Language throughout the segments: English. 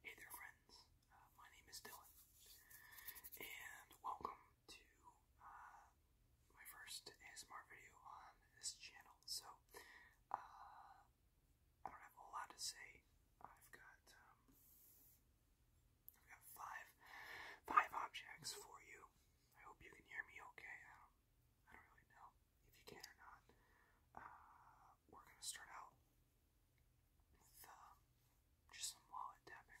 Hey there, friends. Uh, my name is Dylan, and welcome to uh, my first ASMR video on this channel. So, uh, I don't have a lot to say. I've got um, I've got five five objects for you. I hope you can hear me okay. I don't, I don't really know if you can or not. Uh, we're going to start out with um, just some wallet tapping.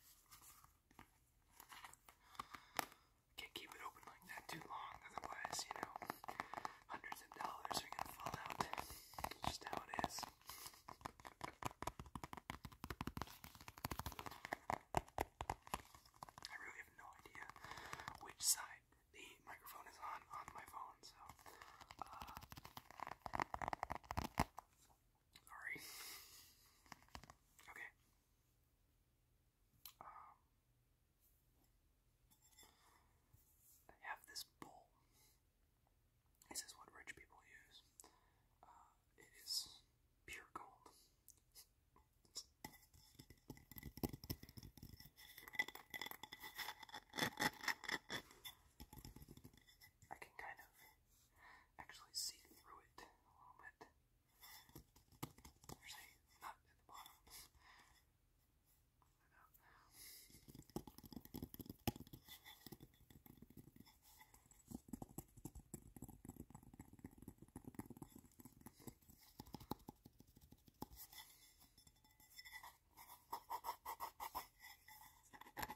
Can't keep it open like that too long, otherwise, you know, hundreds of dollars are gonna fall out. just how it is. I really have no idea which side the microphone is on on my phone, so uh, Sorry. Okay. Um, I have this bowl. This is what rich people use. Uh, it is pure gold. I can kind of actually see through it a little bit. There's a at the bottom. Maybe I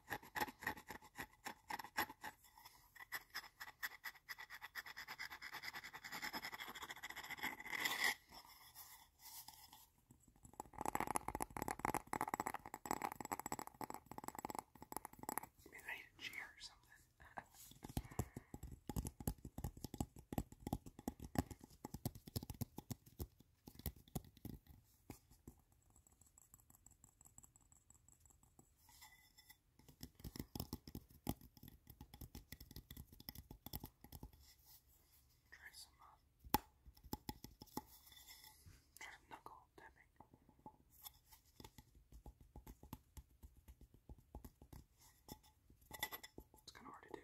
need a chair or something. Try some uh, try some knuckle tapping. It's kind of hard to do.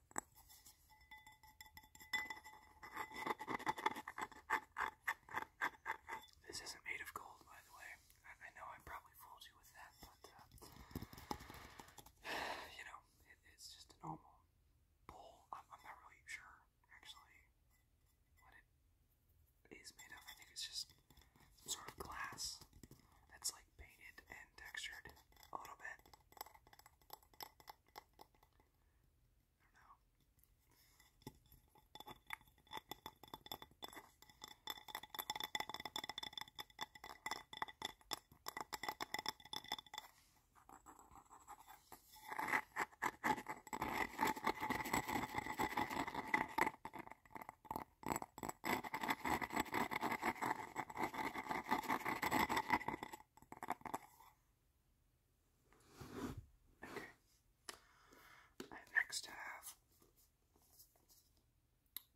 This isn't made of gold, by the way. I, know I probably fooled you with that, but uh, you know, it's just a normal bowl. I'm, not really sure, actually, what it is made of. I think it's just sort of glass that's like like painted and textured a little bit. I don't know. Okay. I have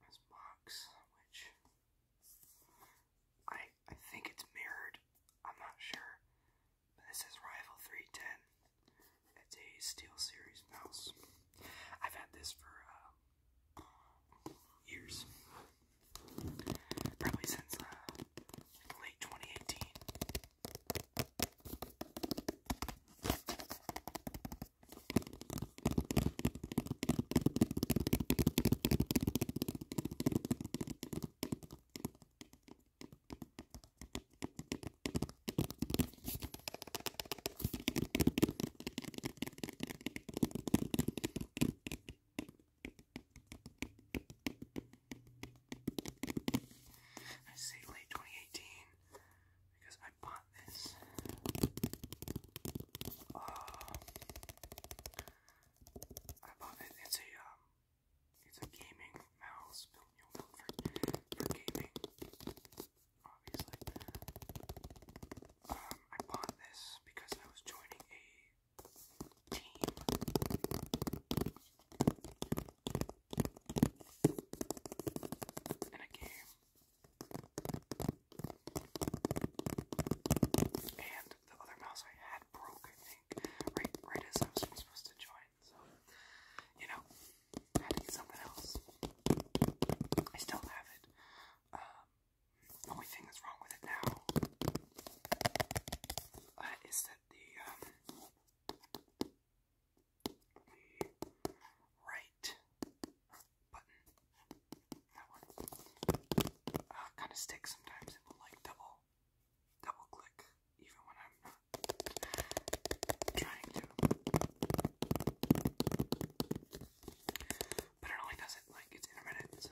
this box, which I I think it's mirrored. I'm not sure. But this is Rival 310. It's a Steel Series mouse. I've had this for uh, years. Probably since uh, late 2018. I say late 2018 because I bought this uh, I bought it, it's a um, it's a gaming mouse built for, for gaming obvious um, I bought this because I was joining a team. In a game. And the other mouse I had broke, I think, right, right as I was supposed to join. So, you know, I had to get something else. I still have it. Um, the only thing that's wrong with it now uh, is that the, um, right button, uh, kind of sticks sometimes. It will like double, double click even when I'm not trying to. But it only does it like it's intermittent, so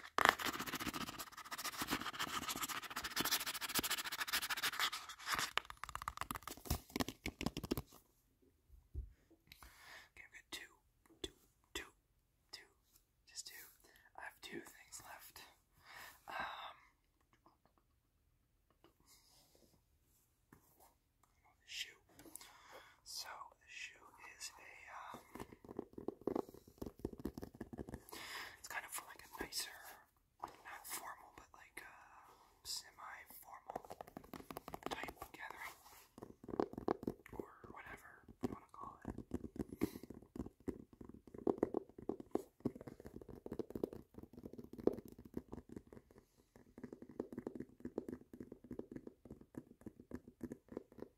Okay, I've got two, two, two, two, just two. I have two things left. Um, the shoe. So the shoe is a um, it's kind of for like a nicer, not formal, but like a uh, semi-formal type gathering or whatever you want to call it.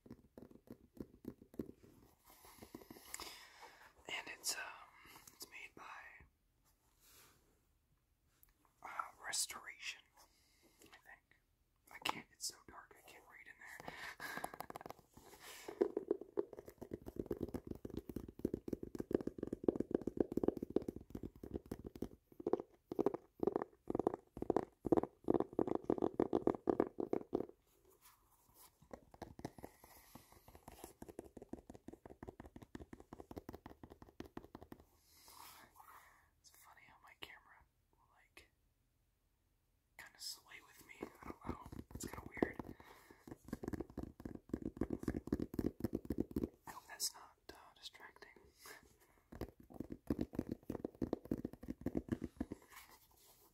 And it's um it's made by uh, Restoration, I think. I can't. It's so dark. I can't read in there. It's funny how my camera like kind of sway with me. I don't know. It's kind of weird. I hope that's not uh, distracting.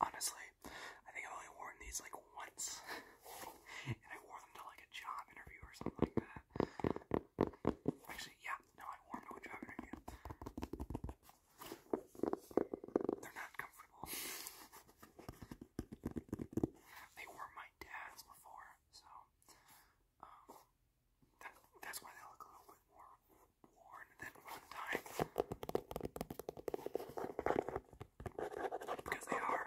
Honestly, I think I've only worn these like once. and I wore them to like a job interview or something like that. Actually, yeah, no, I wore them to a job interview. They're not comfortable. They were my dad's before, so um, that's why they look a little bit more worn than one time. Because they are.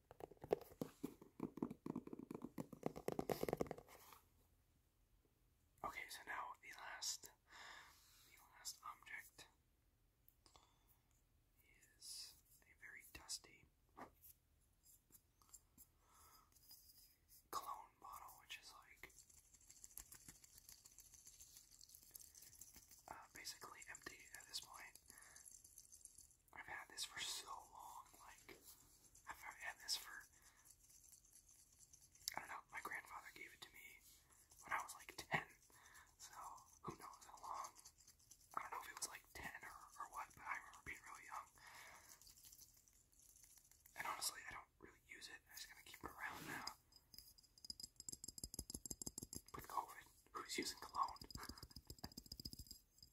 Okay, so now the last the last object is a very dusty cologne bottle, which is like uh, basically empty at this point. I've had this for so long. Like, I've had this for, I don't know, my grandfather gave it to me when I was like 10. So, who knows how long. I don't know if it was like 10 or, or what, but I remember being really young. And honestly, I don't really use it. I just kind of keep it around now. With COVID, who's using cologne?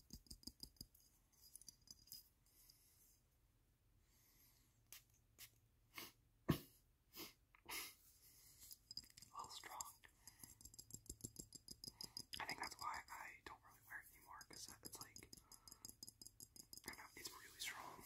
little strong. I think that's why I don't really wear it anymore because it's like, I know, it's really strong.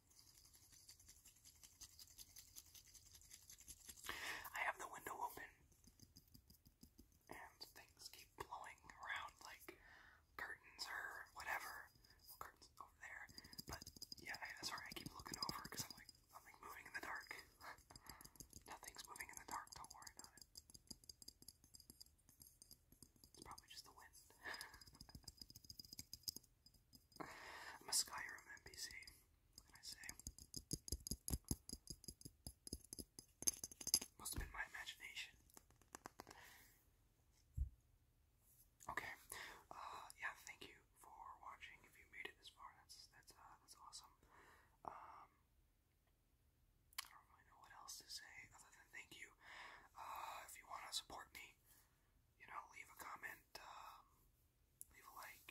I have the window open and things keep blowing around like curtains or whatever. curtains over there. But yeah, I, sorry, I keep looking over because I'm like, I'm like moving in the dark. Nothing's moving in the dark, don't worry about it. It's probably just the wind. I'm a Skyrim NPC, what can I say? Must have been my imagination. Okay, uh, yeah, thank you for watching. If you made it this far, that's, that's, uh, that's awesome. Um, I don't really know what else to say other than thank you. Uh, if you want to support me, you know, leave a comment, um, leave a like,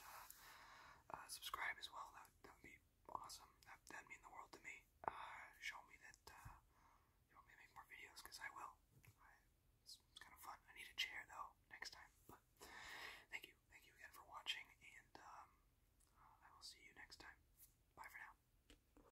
uh, uh, subscribe as well. That, would be awesome. That, would mean the world to me. Uh, show me that you want me to make more videos, because I will. it's, kind of fun. I need a chair, though, next time. But thank you. Thank you again for watching, and um, I will see you next time. Bye for now.